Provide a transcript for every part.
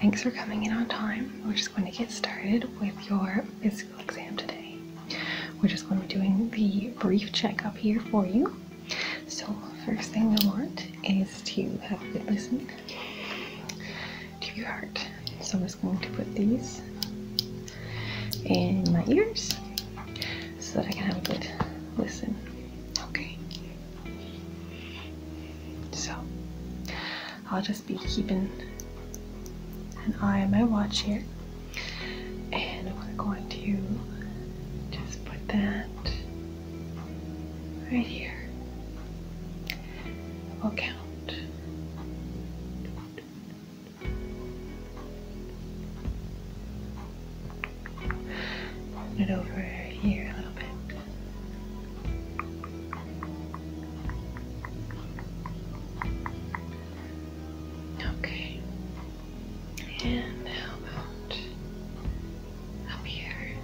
Thanks for coming in on time. We're just going to get started with your physical exam today. We're just going to be doing the brief checkup here for you. So first thing you want is to have a good listen to your heart. So I'm just going to put these in my ears so that I can have a good listen. Okay. So I'll just be keeping an eye on my watch here. And we're going to just put that right here. We'll count. Hold it over here a little bit. Okay. And how about up here?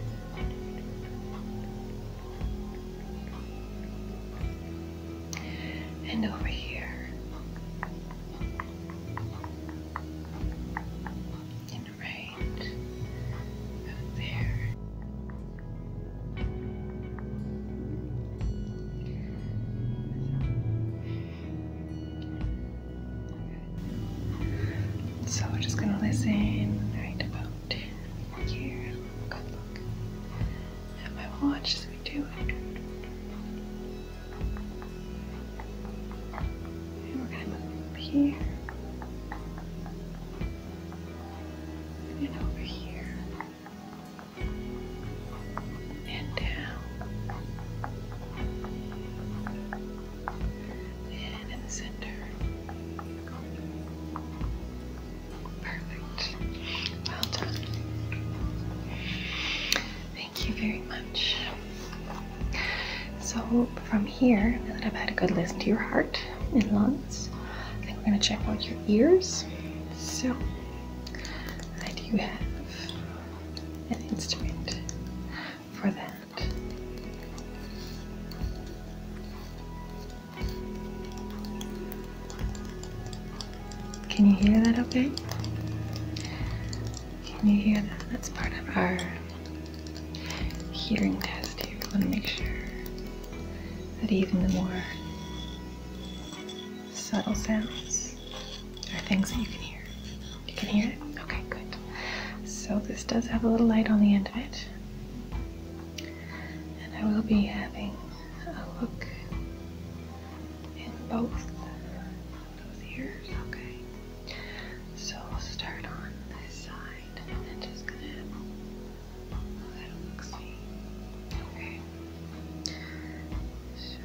And over here right there. So we're just gonna listen right about here. Good look at my watch as we do it. And over here. And over here. And down. And in the center. Perfect. Well done. Thank you very much. So, from here, now that I've had a good listen to your heart and lungs, I think we're going to check out your ears. So, I do have an instrument for that. Can you hear that okay? Can you hear that? That's part of our hearing test here. We want to make sure that even the more subtle sounds are things that you can hear. You can hear it? Okay, good. So this does have a little light on the end of it. And I will be having a look in both Okay. So we'll start on this side and then just gonna. Oh, that'll look sweet. Okay. So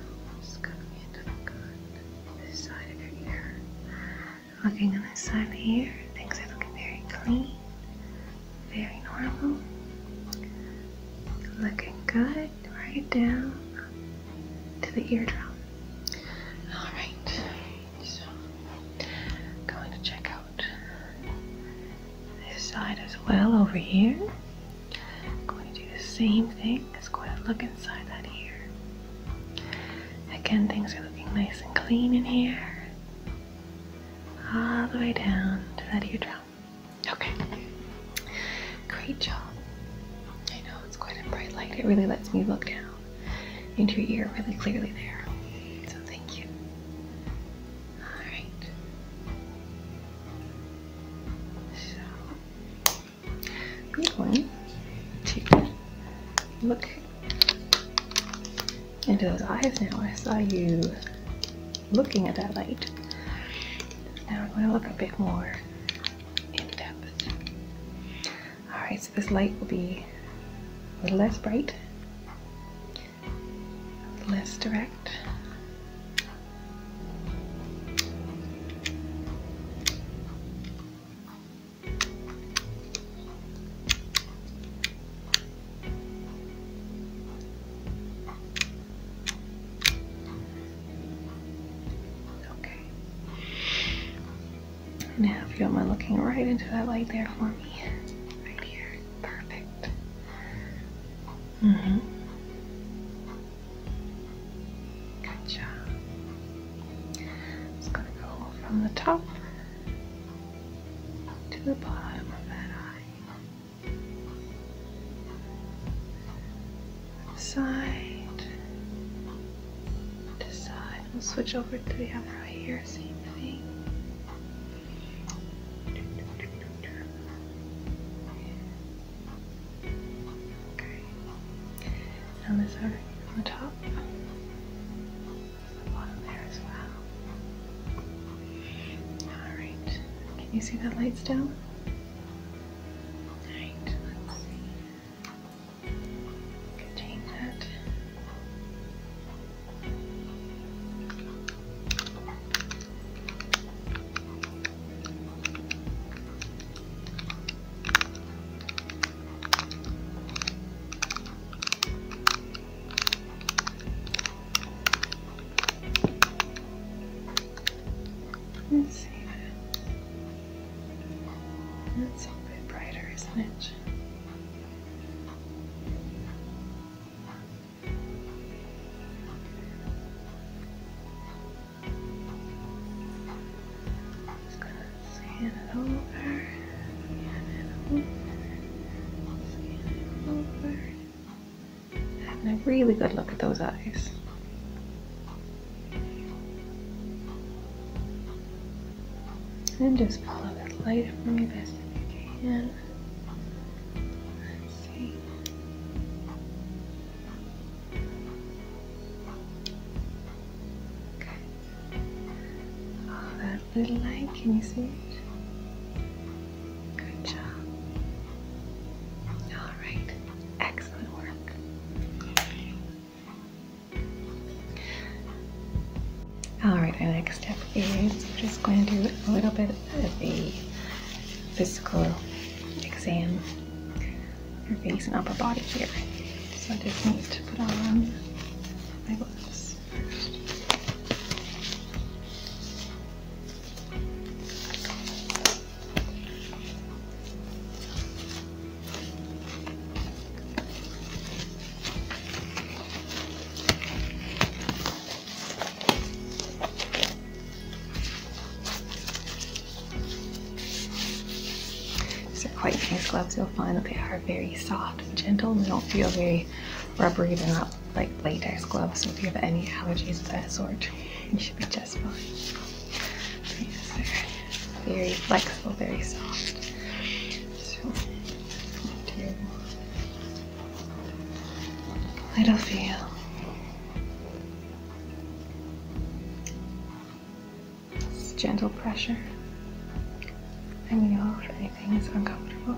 just gonna look on this side of your ear. Looking on this side of the ear, things are looking very clean, very normal. Looking good. Right down to the eardrum. Alright, so going to check out this side as well over here. I'm going to do the same thing. Just going to look inside that ear. Again, things are looking nice and clean in here. All the way down to that eardrum. Okay. Great job. I know it's quite a bright light. It really lets me look down into your ear really clearly there. So thank you. Alright. So I'm look into those eyes now. I saw you looking at that light. Now I'm going to look a bit more Alright, so this light will be a little less bright, less direct. Okay. Now, if you don't mind looking right into that light there for me, right here, perfect. Mm-hmm. Good job. gonna go from the top to the bottom of that eye side to side. We'll switch over to the right here, same thing. Okay. Now this over on the top. The bottom there as well. Alright. Can you see that light's down? Alright, let's see. Contain that. Let's see. That's a little bit brighter, isn't it? Just gonna sand it over, sand it over, sand it over. Having a really good look at those eyes. And just pull follow that light from you best you can. see. Okay. Oh, that little light, can you see it? Good job. All right. Excellent work. All right, our next step is just going to do a little bit of a physical exam your face and upper body here. So I just need to put on my gloves first. These are quite nice gloves. You'll find that they are very soft and gentle. and They don't feel very rubbery. at all like latex gloves, so if you have any allergies of that sort, you should be just fine. very flexible, very soft. So, little feel. It's gentle pressure. Let me know if anything is uncomfortable.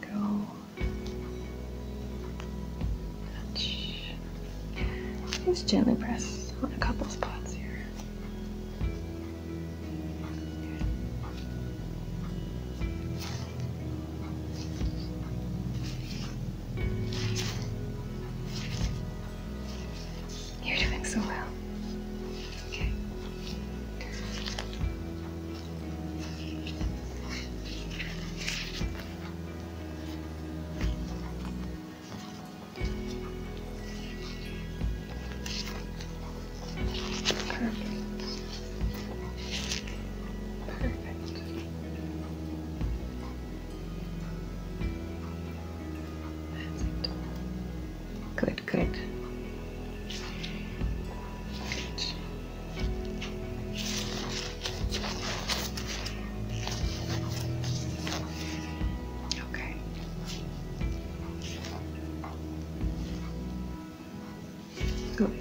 go touch. Just gently press on a couple spots here. You're doing so well. Okay. Perfect. Perfect. That's it. Good, good. Okay. Good.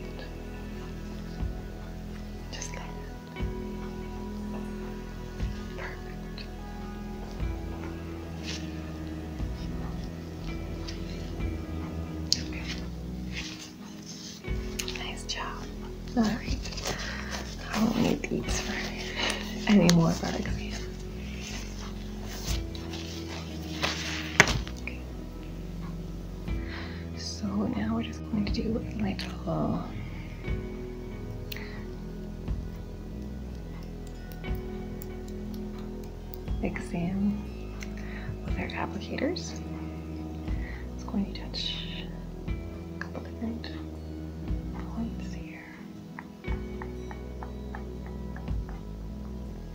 Just Perfect. Nice job. All right. I won't need these for any so now we're just going to do like a little exam with our applicators. It's going to touch a couple different points here.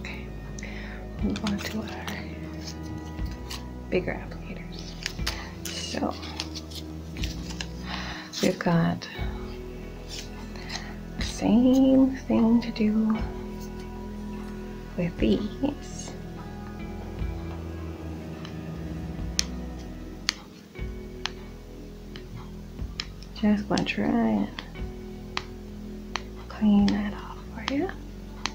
Okay, move on to our bigger applicators. So we've got the same thing to do with these. Just gonna try and clean that off for you.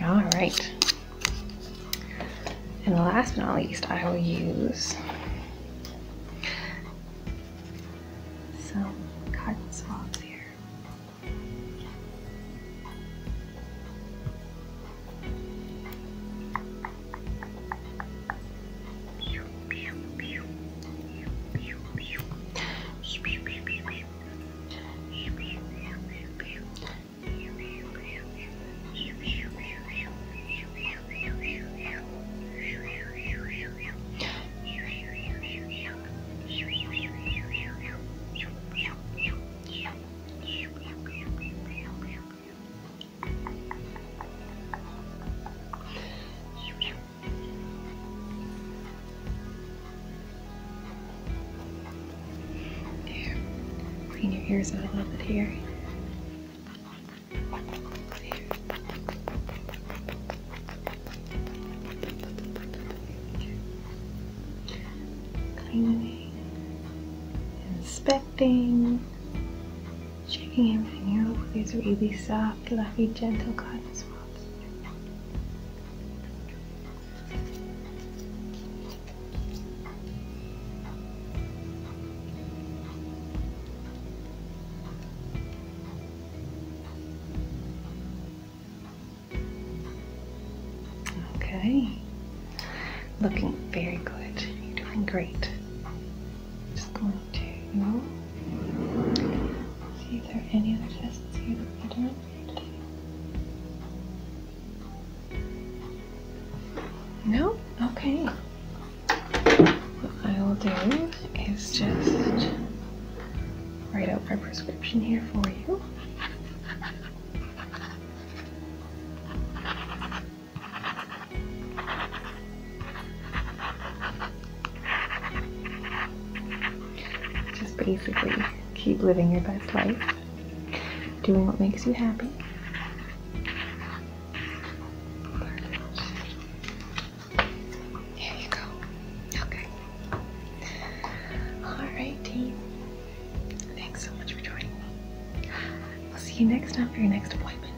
All right. And last but not least, I will use some cotton swabs here. There. Clean your ears out a little bit here. Cleaning, inspecting, checking everything out. These really soft, fluffy, gentle cotton swabs. Okay. Looking very good. You're doing great. just going to see if there are any other tests you have done today. No? Okay. What I will do is just write out my prescription here for you. Just basically keep living your best life, doing what makes you happy. Here you go. Okay. Alright, team. Thanks so much for joining me. I'll see you next time for your next appointment.